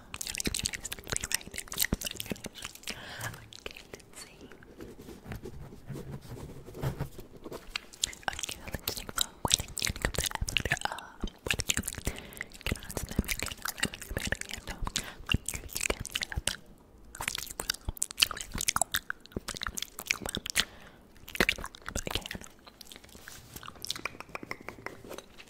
Your name, your name is literally right there. Yeah, your name is Okay, let's see. Okay, let's take a look. When you come to Avatar, uh, what did you like? Can I snap you? Can I snap you? Can I snap you? When you get up, you will. Good, but I can. Okay,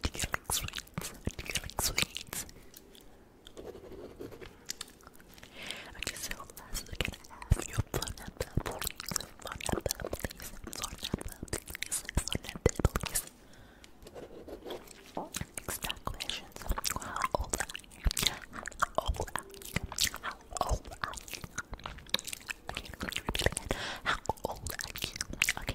Do you like sweets? Do you like sweets? Okay, so last we're gonna have your pineapple, please. Pineapple, please. Pineapple, please. please. Next up, questions. How old How old How old How old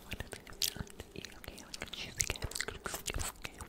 one of these on you, okay? I'm gonna choose again. Okay. Okay.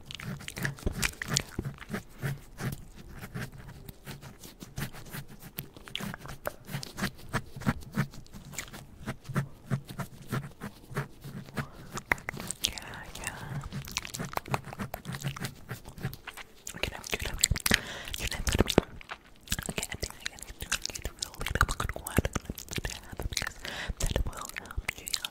Yeah, yeah. Okay, now you know, you know, you know, Okay, I think I can do a little bit of because that will help you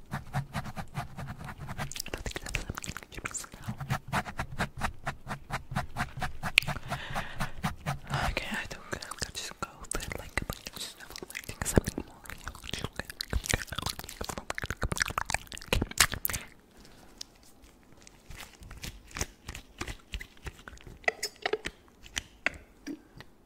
Okay, I don't think I'll just go there like a just have like something more. Okay.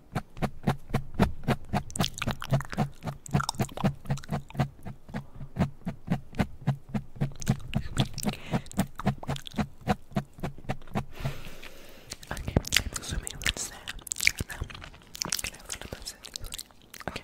Okay, I'm assuming that's there. Now, can I have a little bit Okay.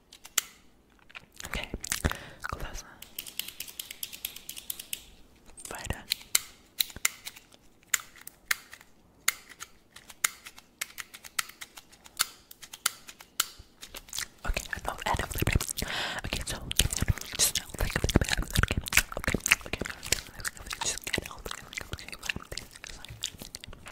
Okay, closer. Further. Okay, I know, I know, Okay, so just like Just get okay, okay, okay, okay, okay, okay, okay, okay, okay, okay, okay, okay, okay, okay, okay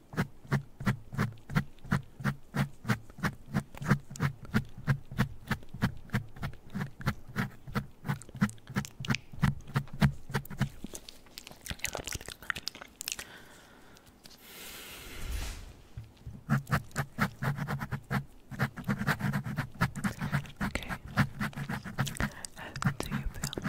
Okay. How uh, do you feel?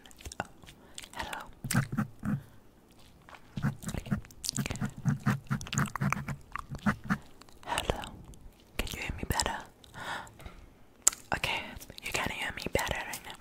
hello. Hello. Can you hear me better? Okay, you can hear me better right now.